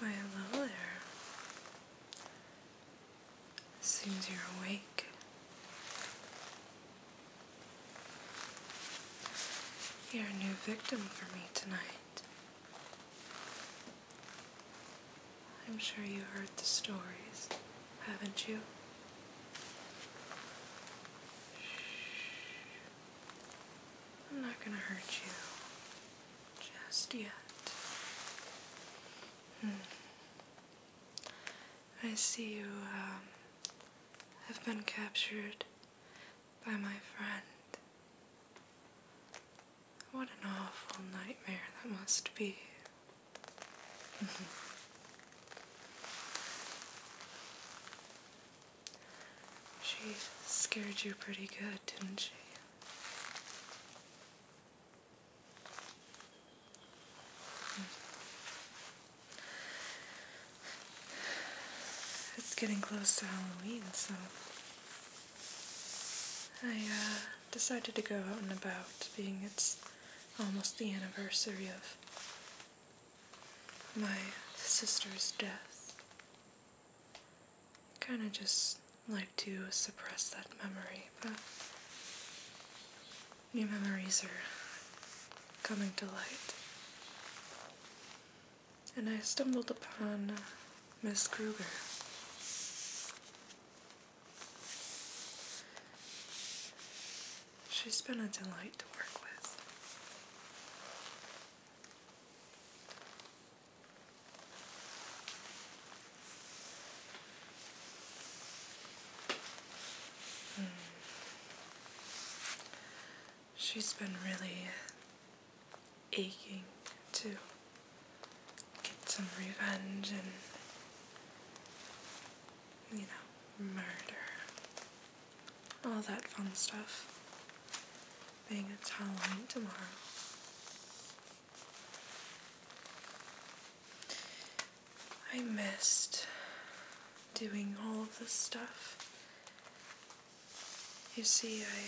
Why, hello there. Seems you're awake. You're a new victim for me tonight. I'm sure you heard the stories, haven't you? I'm not gonna hurt you just yet. Hmm. I see you um, have been captured by my friend. What an awful nightmare that must be. she scared you pretty good, didn't she? It's getting close to Halloween, so I, uh, decided to go out and about, being it's almost the anniversary of my sister's death. Kind of just like to suppress that memory, but new memories are coming to light. And I stumbled upon uh, Miss Kruger. She's been a delight to work with. Hmm. She's been really aching, too get some revenge and, you know, murder. All that fun stuff. Being it's Halloween tomorrow. I missed doing all of this stuff. You see, I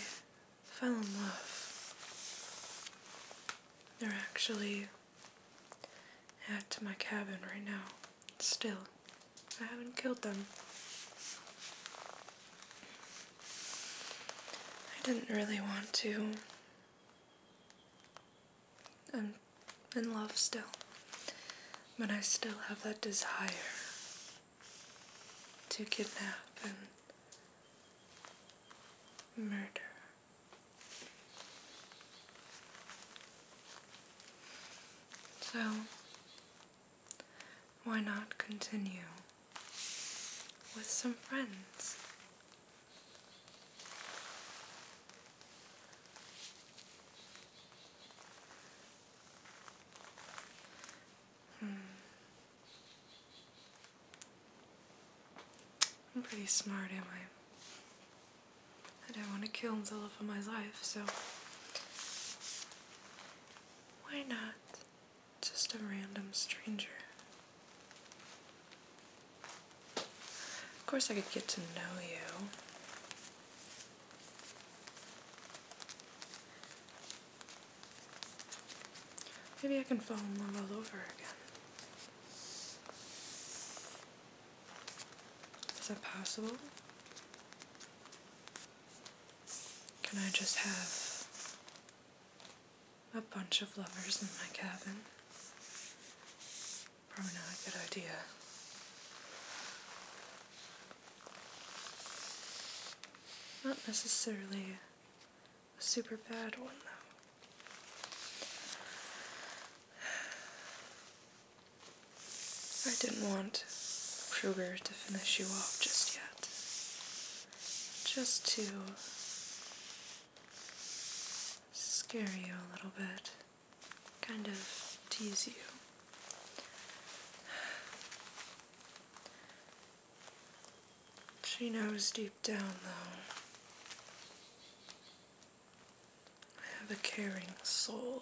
fell in love. They're actually at my cabin right now. Still, I haven't killed them. I didn't really want to. I'm in love still, but I still have that desire to kidnap and murder. So, why not continue with some friends? Hmm. I'm pretty smart, am I? I don't want to kill him the love my life, so why not just a random stranger? Of course, I could get to know you. Maybe I can fall in love all over again. Is that possible? Can I just have a bunch of lovers in my cabin? Probably not a good idea. Not necessarily a super bad one though. I didn't want sugar to finish you off just yet. Just to scare you a little bit, kind of tease you. She knows deep down, though, I have a caring soul,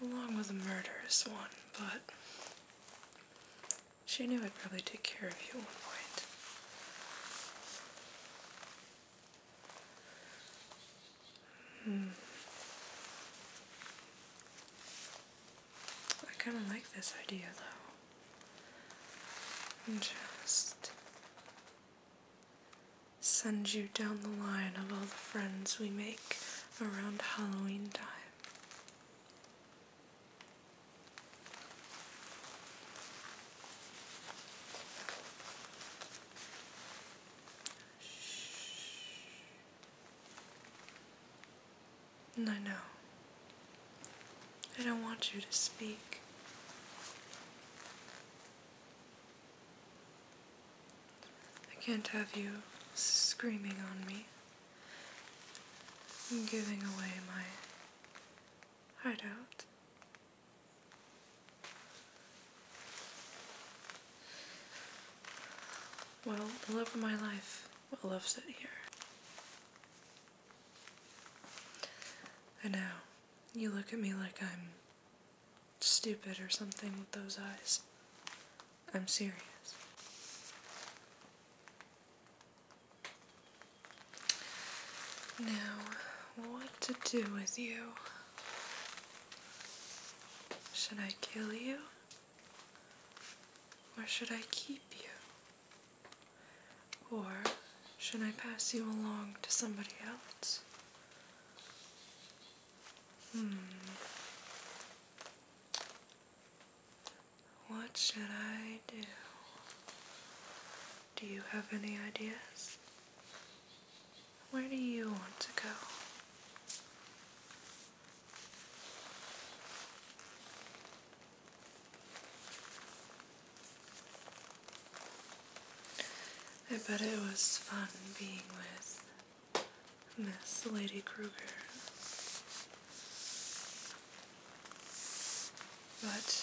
along with a murderous one, but she knew I'd probably take care of you at one point. Hmm. I kind of like this idea, though and just send you down the line of all the friends we make around Halloween time. Shh. And I know. I don't want you to speak. I can't have you screaming on me giving away my heart out. Well, the love of my life well, loves sit here. I know. You look at me like I'm stupid or something with those eyes. I'm serious. Now, what to do with you? Should I kill you? Or should I keep you? Or should I pass you along to somebody else? Hmm. What should I do? Do you have any ideas? Where do you want to go? I bet it was fun being with Miss Lady Kruger. But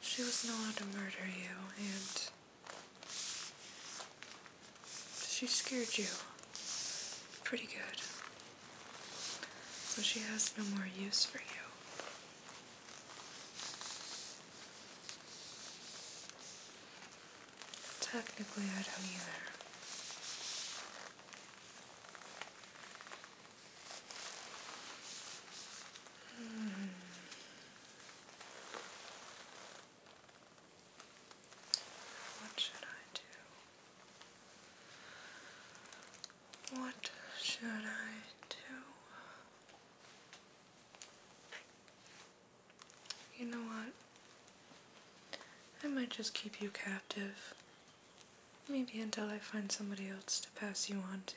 she was not to murder you, and she scared you pretty good. So she has no more use for you. Technically, I don't either. Hmm. What should I do? What should I do? You know what? I might just keep you captive. Maybe until I find somebody else to pass you on to.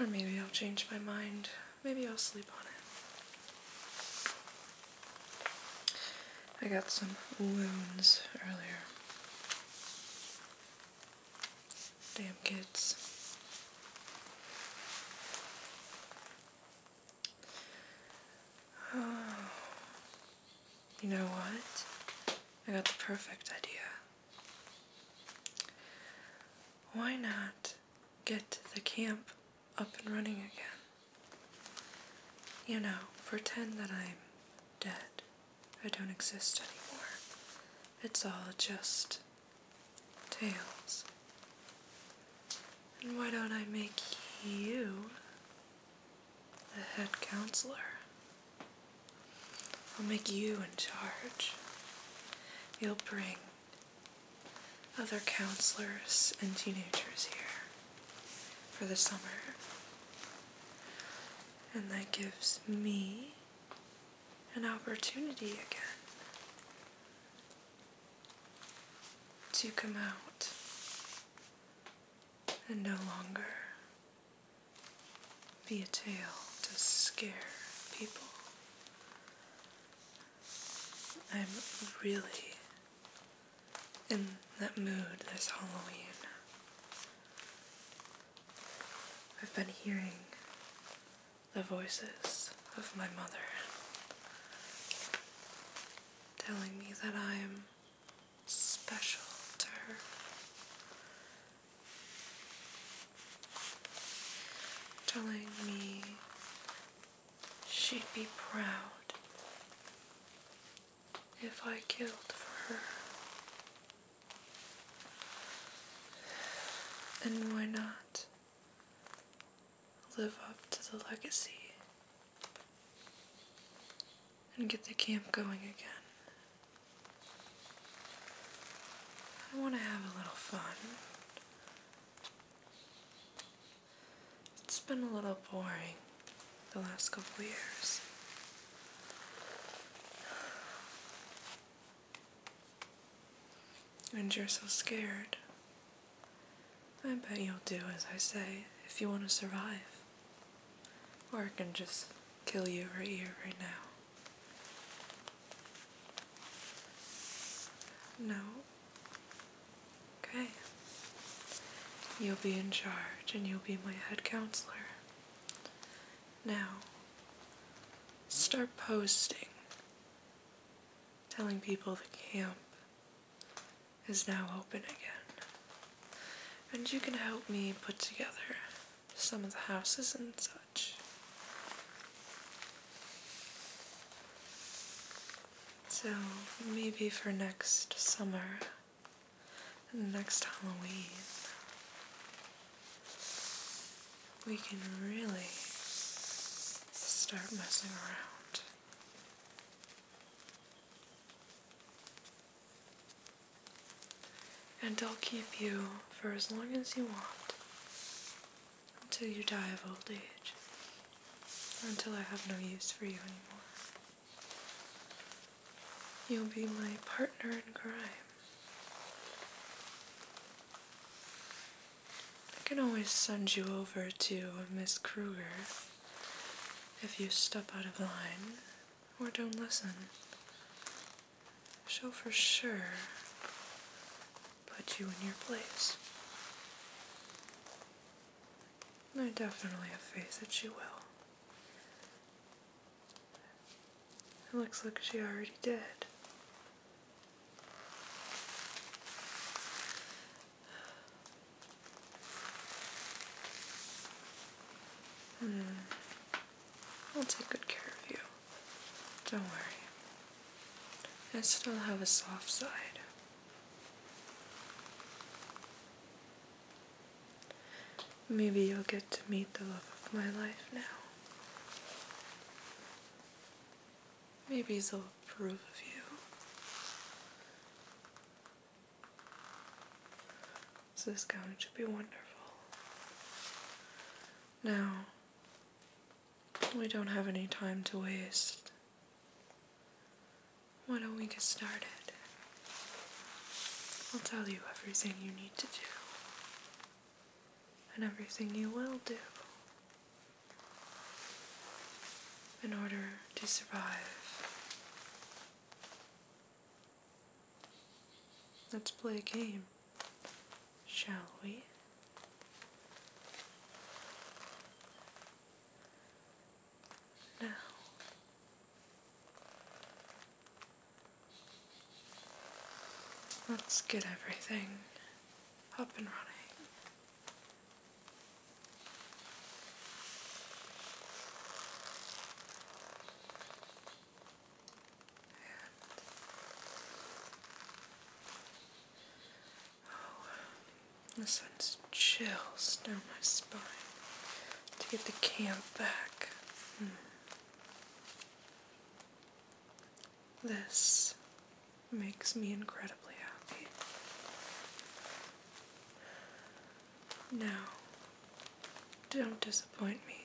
Or maybe I'll change my mind. Maybe I'll sleep on it. I got some wounds earlier. Damn kids. You know what? I got the perfect idea. Why not get the camp up and running again. You know, pretend that I'm dead. I don't exist anymore. It's all just tales. And why don't I make you the head counselor? I'll make you in charge. You'll bring other counselors and teenagers here for the summer. And that gives me an opportunity again to come out and no longer be a tale to scare people. I'm really in that mood this Halloween. I've been hearing the voices of my mother telling me that I'm special to her. Telling me She'd be proud if I killed for her. And why not live up to the legacy and get the camp going again? I want to have a little fun. It's been a little boring the last couple years. And you're so scared. I bet you'll do as I say if you want to survive. Or I can just kill you right here, right now. No, Okay. You'll be in charge and you'll be my head counselor. Now, start posting. Telling people the camp is now open again. And you can help me put together some of the houses and such. So maybe for next summer, next Halloween, we can really start messing around. And I'll keep you for as long as you want until you die of old age until I have no use for you anymore. You'll be my partner in crime. I can always send you over to Miss Kruger if you step out of line or don't listen. She'll for sure put you in your place. I definitely have faith that she will. It looks like she already did. Hmm. I'll take good care of you. Don't worry. I still have a soft side. Maybe you'll get to meet the love of my life now. Maybe he will approve of you. So this gown should be wonderful. Now, we don't have any time to waste. Why don't we get started? I'll tell you everything you need to do, and everything you will do in order to survive. Let's play a game, shall we? Now, let's get everything up and running this sends chills down my spine to get the camp back. Hmm. This makes me incredibly happy. Now, don't disappoint me.